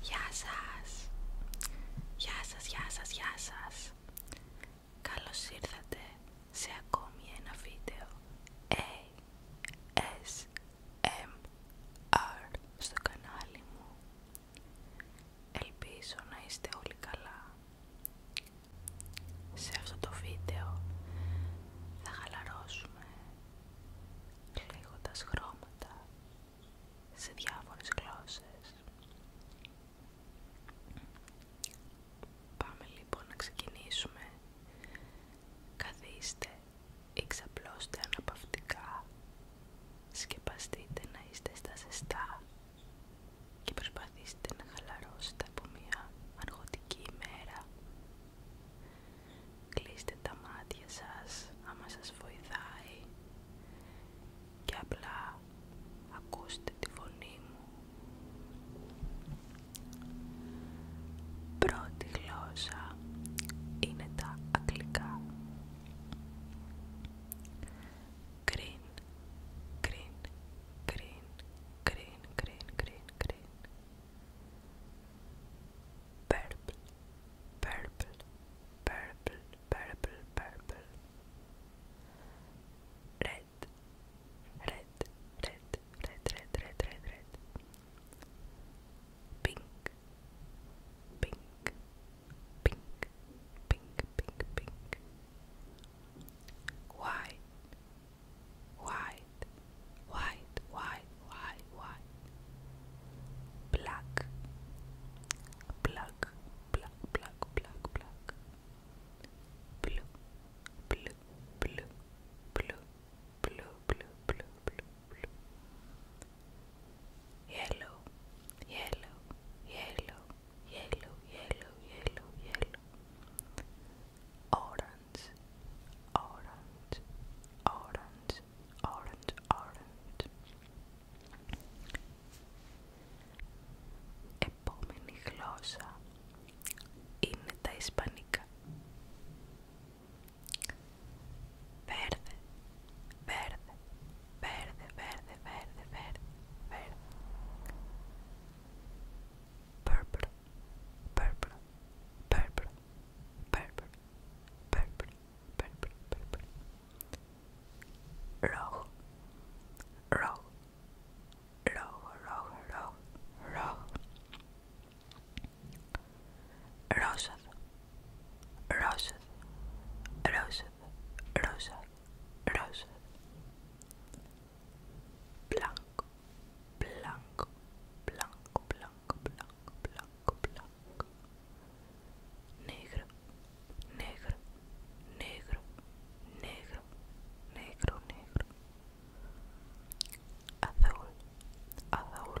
Γεια σας! Γεια σας, γεια σας, γεια σας! Καλώς ήρθατε σε ακόμη ένα βίντεο ASMR στο κανάλι μου. Ελπίζω να είστε όλοι καλά σε αυτό το βίντεο θα χαλαρώσουμε τα χρώματα σε διάφορες γλώσσες. Πάμε λοιπόν να ξεκινήσουμε. Καθίστε, εξαπλώστε αναπαυτικά, σκεπαστείτε να είστε στα ζεστά και προσπαθήστε να χαλαρώσετε από μια αργωτική ημέρα. Κλείστε τα μάτια σας άμα σας βοηθάει και απλά ακούστε τη φωνή μου. Πρώτη γλώσσα είναι τα αγγλικά. green, green, green, green, green, green, purple, purple, purple, purple, purple, red, red, red, red, red, red, red, red, pink, pink, pink, pink, pink, pink, white, white, white, white, white, white, black, black, black, black, black, black, blue, blue, blue, blue, blue, blue, blue, blue, blue. Yellow, yellow, yellow, yellow, yellow, yellow, yellow. Orange, orange, orange, orange, orange. Επόμενη γλώσσα είναι τα Ισπανικά. Verde, verde, verde, verde, verde, verde, verde. Purple, purple, purple, purple, purple, purple, purple. Rojo, rojo, rojo, rojo, rojo, rojo. Rosas, rosa rosa rosa rosa blanco, blanco, blanco, blanco, blanco, blanco, blanco, negro, negro, negro, negro, negro, negro, azul, azul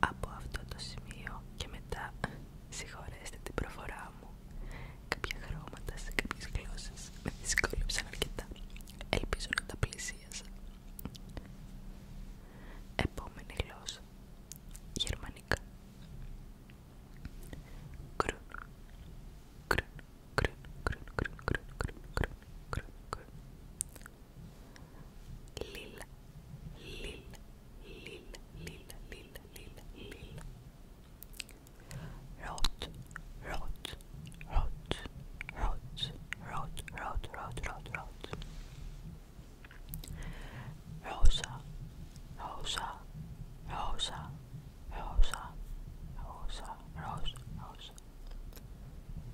Από αυτό το σημείο και μετά συγχωρέστε την προφορά μου. Κάποια χρώματα σε κάποιες γλώσσες με δυσκόλεψαν αρκετά. Ελπίζω να τα πλησίασα. Επόμενη γλώσσα. Γερμανικά. Κρουν. Κρουν. Κρουν. Κρουν. Κρουν. Κρουν. Lil, lil, lil, lil, lil, lil, lil. Rot, rot, rot, rot, rot, rot, rot, rot, rot. Rosa, rosa, rosa, rosa, rosa, rosa, rosa.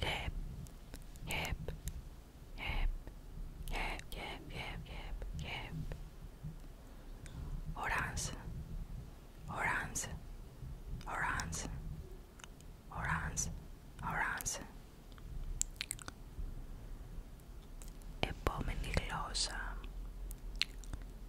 Hip, hip, hip, hip, hip, hip, hip, hip. Orange, orange, orange, orange, orange. Επόμενη γλώσσα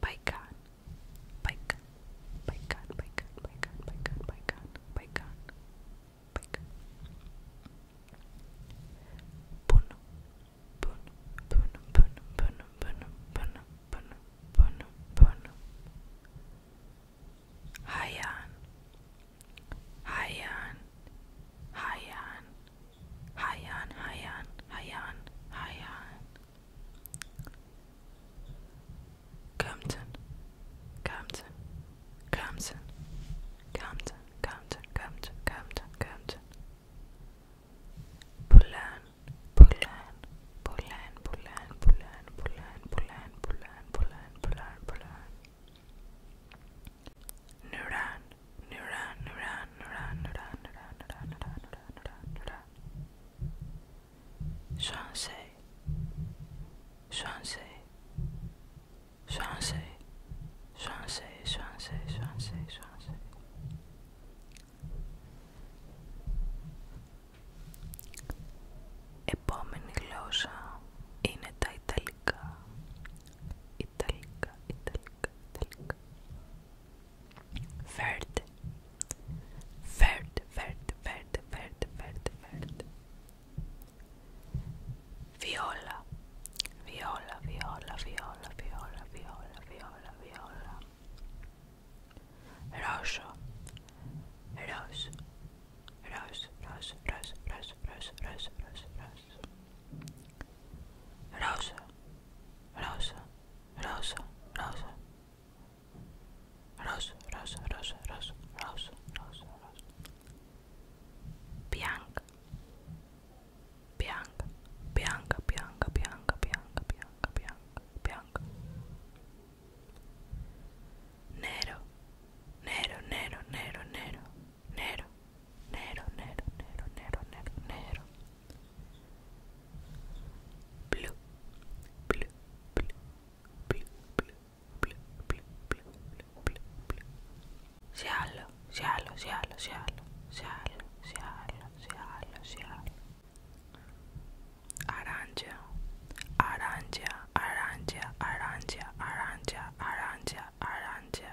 Pycon, Pycon, Pycon, Pycon, Pycon, Pycon, Pycon, Pycon, Pycon. Puno, puno, puno, puno, puno, puno, puno, puno, puno, puno. Hayan, Hayan, Hayan, Hayan, Hayan, Hayan, Hayan. Compton, Compton, Compton, Compton, Compton, Compton, Compton, Compton. Bulan, Bulan, Bulan, Bulan, Bulan, Bulan, Bulan, Bulan, Bulan, Bulan, Bulan. Nuran, Nuran, Nuran, Nuran, Nuran, Nuran, Nuran, Nuran, Nuran, Nuran, Nuran. Σανσέ, Σανσέ, Σανσέ, Σανσέ, Σανσέ, Σανσέ, Σανσέ. Επόμενη γλώσσα είναι τα ιταλικά. Ιταλικά, ιταλικά, ιταλικά. Verde. Verde, verde, verde, verde, verde, verde. Viola. Viola, viola, viola, viola, viola, viola, viola. Rosso. Rosso. Rosso, rosso, rosso, rosso, rosso, rosso, rosso, rosso. Rosa, rosa, rosa, rosa, rosa, rosa, rosa, rosa, rosa, rosa, rosa, bianca, bianca, bianca, bianca, bianca, bianca, bianca, bianca, bianca, nero, nero, nero, nero, nero, nero. negro, negro, negro, negro, negro, negro. Blue, blue, blue, blue, blue, blue, blue, blue, blue, blue. Shallow, shallow, shallow, shallow, shallow, shallow, shallow, shallow. Aranja, aranja, aranja, aranja, aranja, aranja, aranja.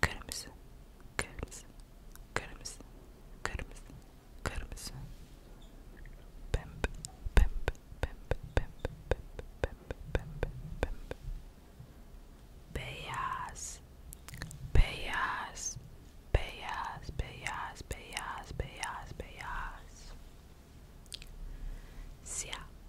kırmızı, kırmızı, kırmızı, kırmızı, kırmızı, pembe, pembe, pembe, pembe, pembe, pembe, pembe, pembe, beyaz, beyaz, beyaz, beyaz, beyaz, beyaz, beyaz, siyah.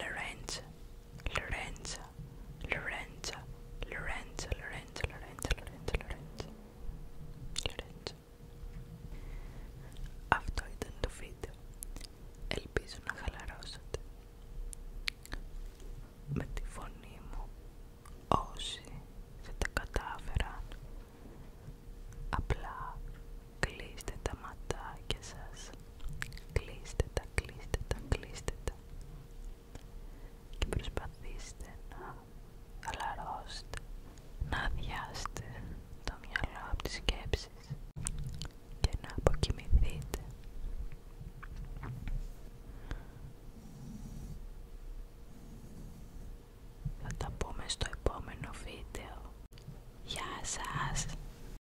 Lorenza, ΛΟΡΕΝΤΖΑ ΛΟΡΕΝΤΖΑ ΛΟΡΕΝΤΖΑ Lorenza, Lorenza, Αυτό ήταν το βίντεο. Ελπίζω να χαλαρώσατε. Με τη φωνή μου όσοι δεν τα κατάφεραν απλά κλείστε τα ματάκια σας Κλείστε τα, κλείστε τα, κλείστε τα και προσπαθήστε να χαλαρώσετε, να αδειάσετε το μυαλό από τις σκέψεις και να αποκοιμηθείτε. Θα τα πούμε στο επόμενο βίντεο. Γεια σας!